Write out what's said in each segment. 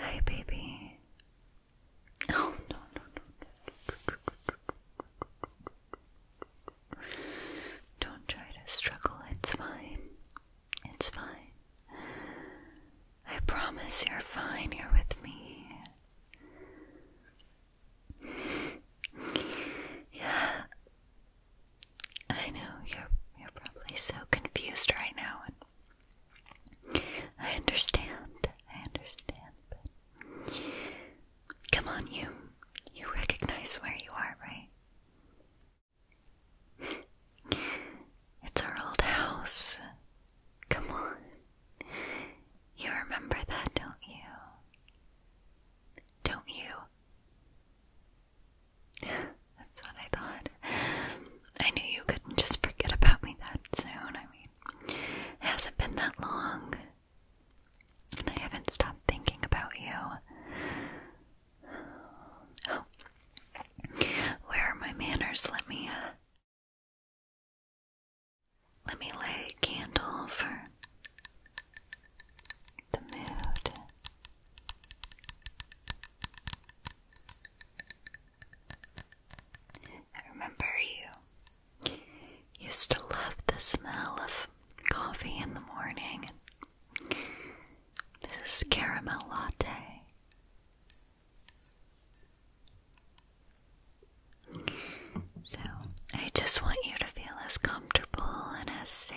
Hi, baby. Oh, no, no, no, no. Don't try to struggle. It's fine. It's fine. I promise you're fine You're with me. yeah. I know you're you're probably so confused right now and I understand. I understand. But come on, you you recognize where you are, right? It's our old house. Come on. You remember that, don't you? don't you? That's what I thought. I knew you couldn't just forget about me that soon. I mean, hasn't been that long, and I haven't stopped thinking about you. Oh. where are my manners? Let me, uh, let me light a candle for the mood. I remember you used to love the smell of coffee in the morning. This is caramel latte. So, I just want you to feel as comfortable and as safe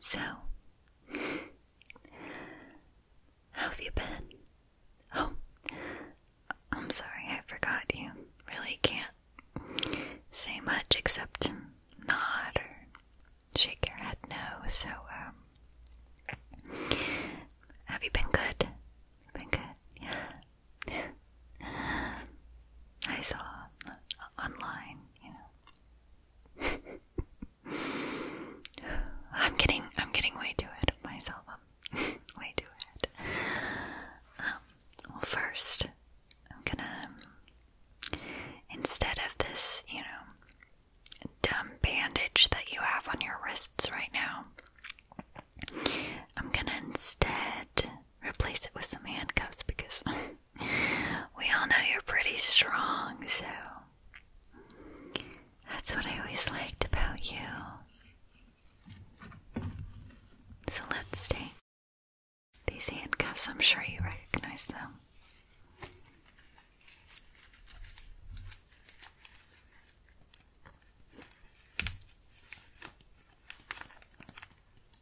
So, how have you been? Oh, I'm sorry, I forgot you. Really can't say much except nod or shake your head no. So, um, have you been good? Been good, yeah. I saw online, you know. I'm getting I'm getting way too ahead of myself. I'm way too ahead. Um, well, first I'm gonna instead of this, you know, dumb bandage that you have on your wrists right now, I'm gonna instead replace it with some handcuffs because we all know you're pretty strong, so that's what I always liked about you. So let's take these handcuffs, I'm sure you recognize them.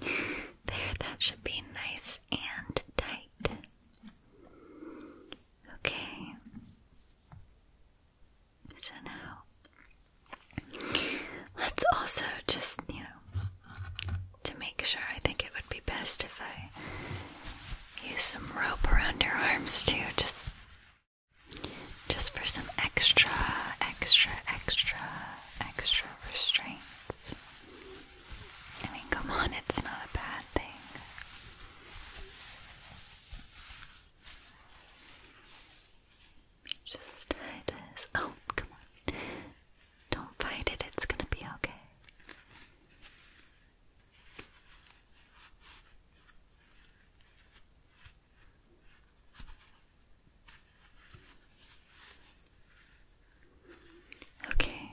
there, that should be nice and tight. Okay. So now let's also just, you know, to make sure, I think it would be best if I use some rope around your arms too, just just for some extra, extra, extra, extra restraints. I mean, come on, it's not a bad thing. Just tie this. Oh, come on. Don't fight it, it's gonna be okay. Okay,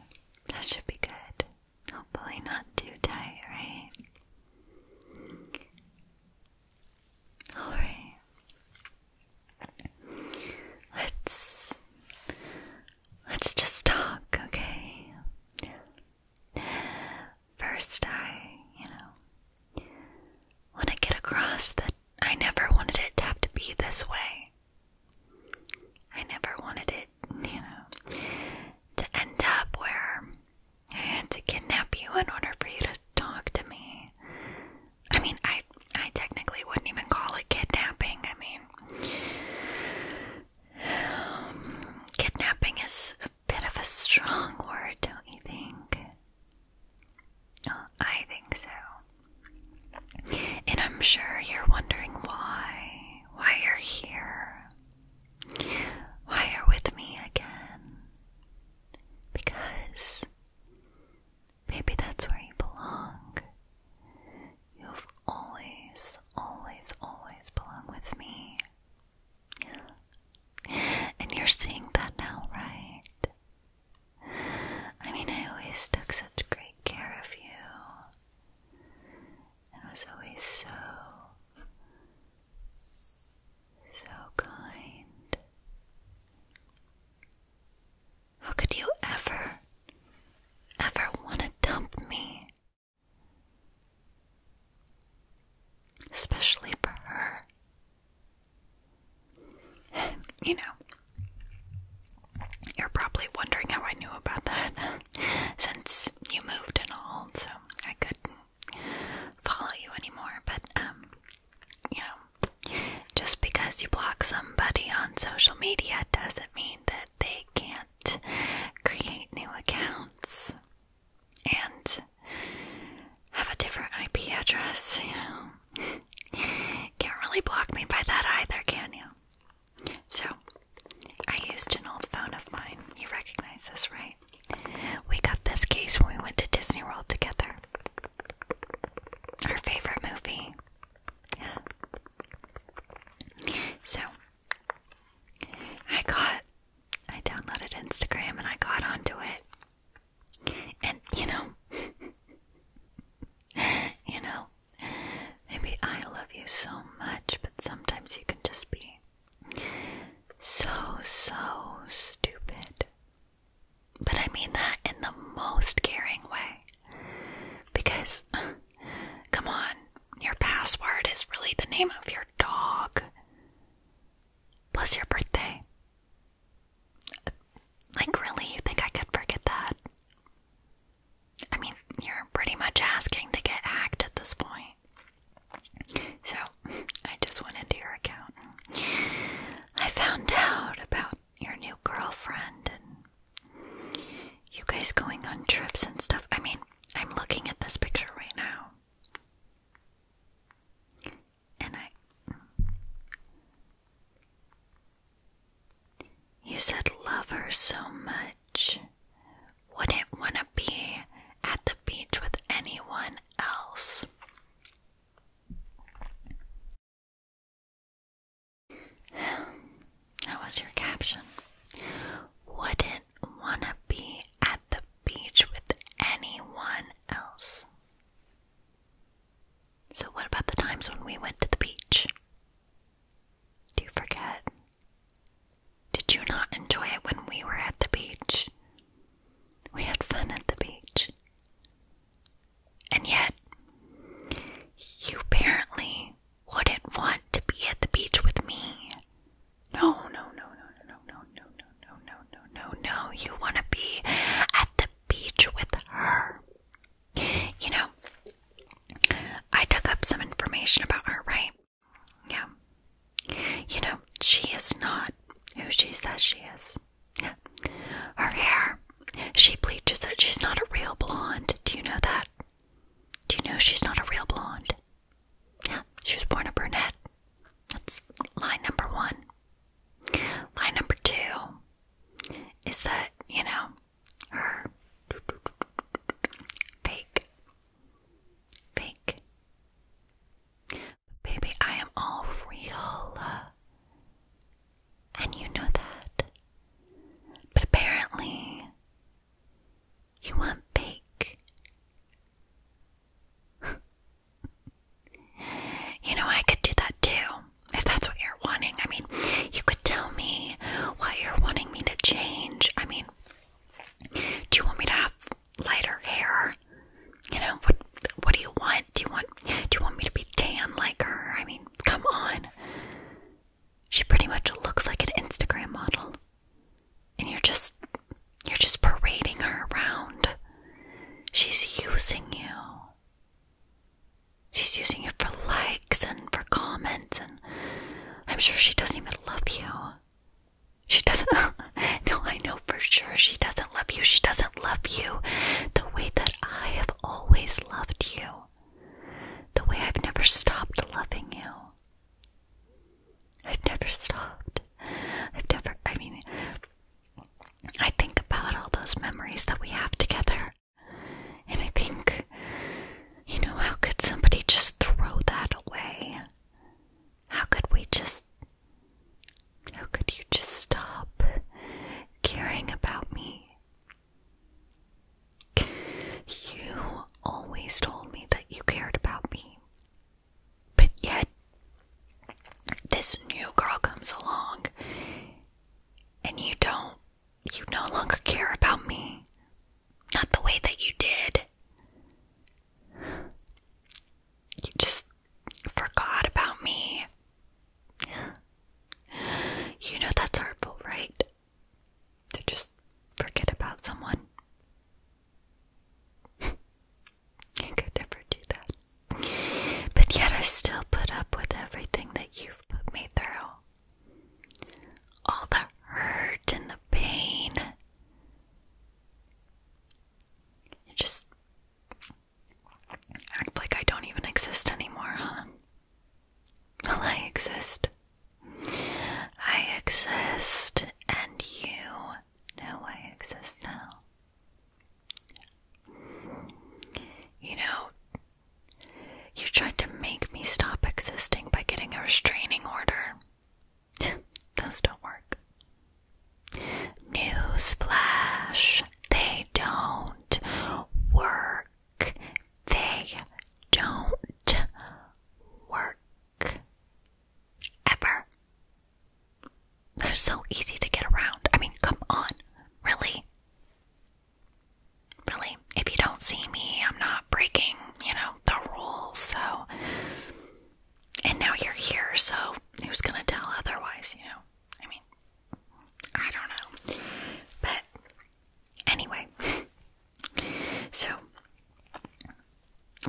that should be good. Hopefully, not too tight, right? Alright. Let's let's just talk, okay? First, I, you know, want to get across that I never wanted it to have to be this way. I never wanted it, you know, to end up where I had to kidnap you in order for you to talk to me. I mean, I I technically wouldn't even call it kidnapping. I mean, kidnapping is bit of a strong word, don't you think? I think so. And I'm sure you're wondering why. Why you're here. Why you're with me again. Because maybe that's where you belong. You've always, always, always belonged with me. And you're seeing that now, right? I mean, I always took such great care of you and was always so, so kind. How could you ever, ever want to dump me? Especially for her. You know, you're probably wondering how I knew about that since you moved and all, so I couldn't follow you anymore. But, um, you know, just because you block somebody on social media doesn't mean that they can't create new accounts and have a different IP address, you know. Can't really block me by that either, can you? So, I used an old phone of mine. You recognize this, right? We got this case when we went to Disney World together. Our favorite movie. So, I got I downloaded Instagram and I got onto it. And you know, you know, maybe I love you so much, but sometimes you can just be so, so stupid. But I mean that in the most caring way. Because, come on, your password is really the name of your dog was your birthday. Like, really? You think I could forget that? I mean, you're pretty much asking to get hacked at this point. So, I just went into your account. I found out about your new girlfriend and you guys going on trips and stuff. I mean, I'm looking at this picture right now. And I. You said love her so much. Wouldn't want to be at the beach with anyone else. That was your caption. Wouldn't want to be at the beach with anyone else. So, what about the times when we went to the beach? Do you forget? Did you not enjoy it when we were at the beach? We had fun at the beach. And yet, you apparently wouldn't want to be at the beach with me no, no, no, no, no, no, no, no, no, no, no, no, no. You want to be at the beach with her. You know, I dug up some information about her, right? Yeah. You know, she is not who she says she is. Her hair, she bleaches it. She's not a real blonde. Do you know that? Do you know she's not a real blonde? Yeah, she was born a brunette. That's line number one. Line number two is that, you know, her fake. Fake. Baby, I am all real. And you know that. But apparently, you want big. you know, I could do that too, if that's what you're wanting. I mean, you could tell me what you're wanting me to change. I mean, do you want me to have lighter hair? You know, what what do you want? Do you want do you want me to be tan like her? I mean, come on. She pretty much looks like an Instagram model and you're just you're just parading her around. She's using you. She's using you for likes and for comments and I'm sure she doesn't even love you. She doesn't No, I know for sure she doesn't love you. She doesn't love you the way that I have always loved you. The way I've never stopped loving you. I've never stopped. I've never, I mean, I think about all those memories that we have together, and I think, you know, how could somebody just throw that away? How could we just, how could you just stop caring about me? You always told me that you cared about me. But yet, this new girl comes along, and you don't, you no longer care about me. Not the way that you did. You just forgot about me. You know that's hurtful, right? To just forget about someone. I could never do that. But yet I still put up with everything that you've put me through. All the hurt and the pain. You just act like I don't even exist anymore, huh? Well, I exist. I exist and you know I exist now. You know, you tried to make me stop existing by getting a restraining order. Those don't work. Newsflash, they don't work. They don't work ever. They're so easy to get around. I mean, come on. Really? Really? If you don't see me, I'm not breaking, you know, the rules, so. And now you're here, so who's gonna tell otherwise, you know? I mean, I don't know. But anyway, so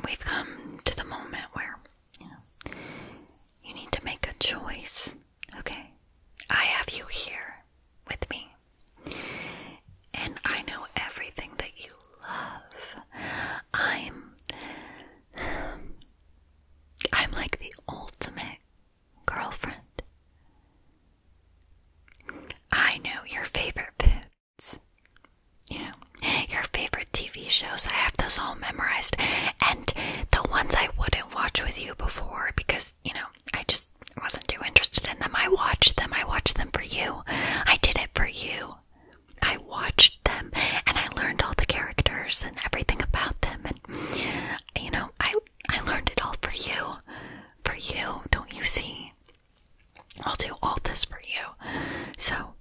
we've come to the moment where you need to make a choice. Okay. I have you here with me. And I know everything that you love. I'm I'm like the ultimate girlfriend. I know your favorite food. You know, your favorite TV shows. I have those all memorized. And the ones I wouldn't watch with you before because, you know, I just wasn't too interested in them. I watched them. I watched them for you. I did it for you. I watched them and I learned all the characters and everything about them. And, you know, I, I learned it all for you. For you, don't you see? I'll do all this for you. So.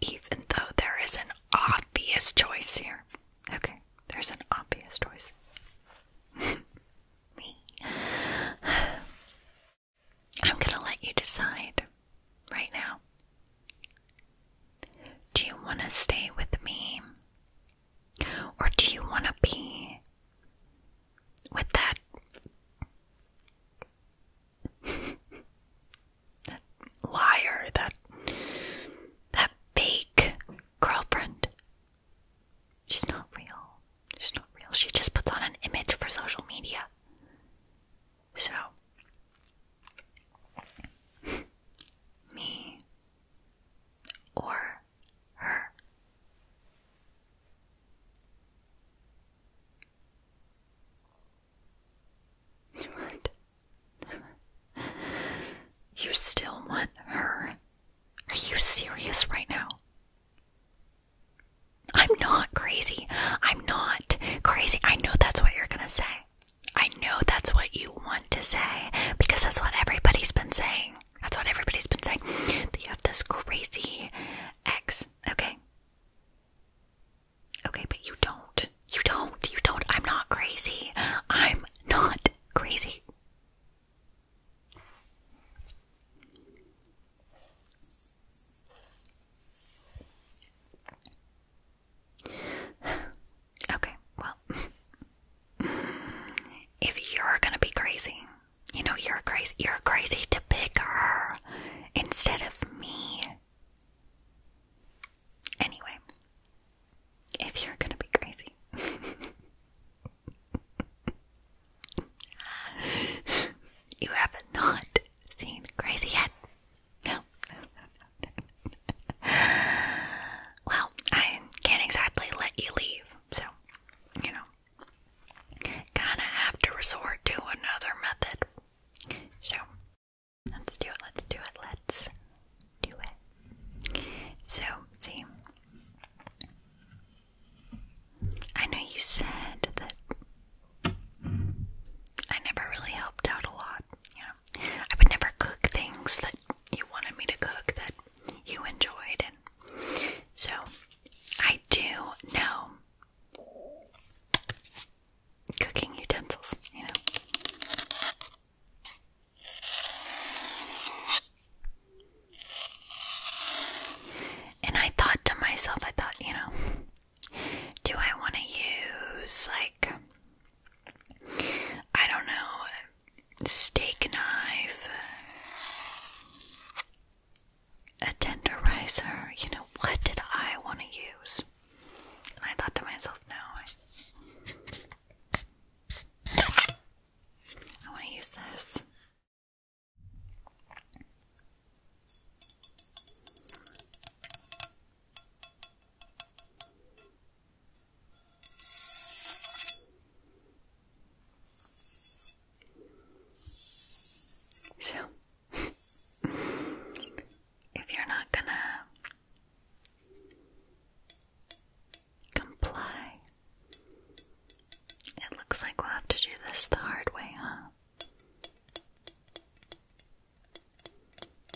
Even though there is an obvious choice here. Okay, there's an obvious choice. Me. I'm gonna let you decide right now. Do you want to stay with me or do you want to be with that? liar, that that fake girlfriend. She's not real. She's not real. She just puts on an image for social media. So me or her. What? you still want her? Are you serious right now? I'm not crazy. I'm not crazy. I know that's what you're gonna say. I know that's what you want to say because that's what everybody's been saying. That's what everybody's been saying. That you have this crazy ex. Okay. Okay, but you don't. You don't. You don't. I'm not crazy. I'm not crazy. Okay, well, if you're gonna be crazy, you know you're crazy. You're crazy to pick her instead of me. Anyway, if you're gonna be crazy. you have not seen Crazy yet. No, no, well, I can't exactly let you leave, so, you know, kinda have to resort to another method. So, let's do it, let's do it, let's do it. So, see, I know you said that I never really helped out a lot, Yeah, I would never cook things that you wanted me to cook that you enjoyed and so I do know cooking utensils, you know. And I thought to myself, I thought, you know, do I want to use like I don't know, steak knife, a tenderizer. You know, what did I want to use? And I thought to myself, no, I, I want to use this. So, if you're not gonna comply, it looks like we'll have to do this the hard way, huh?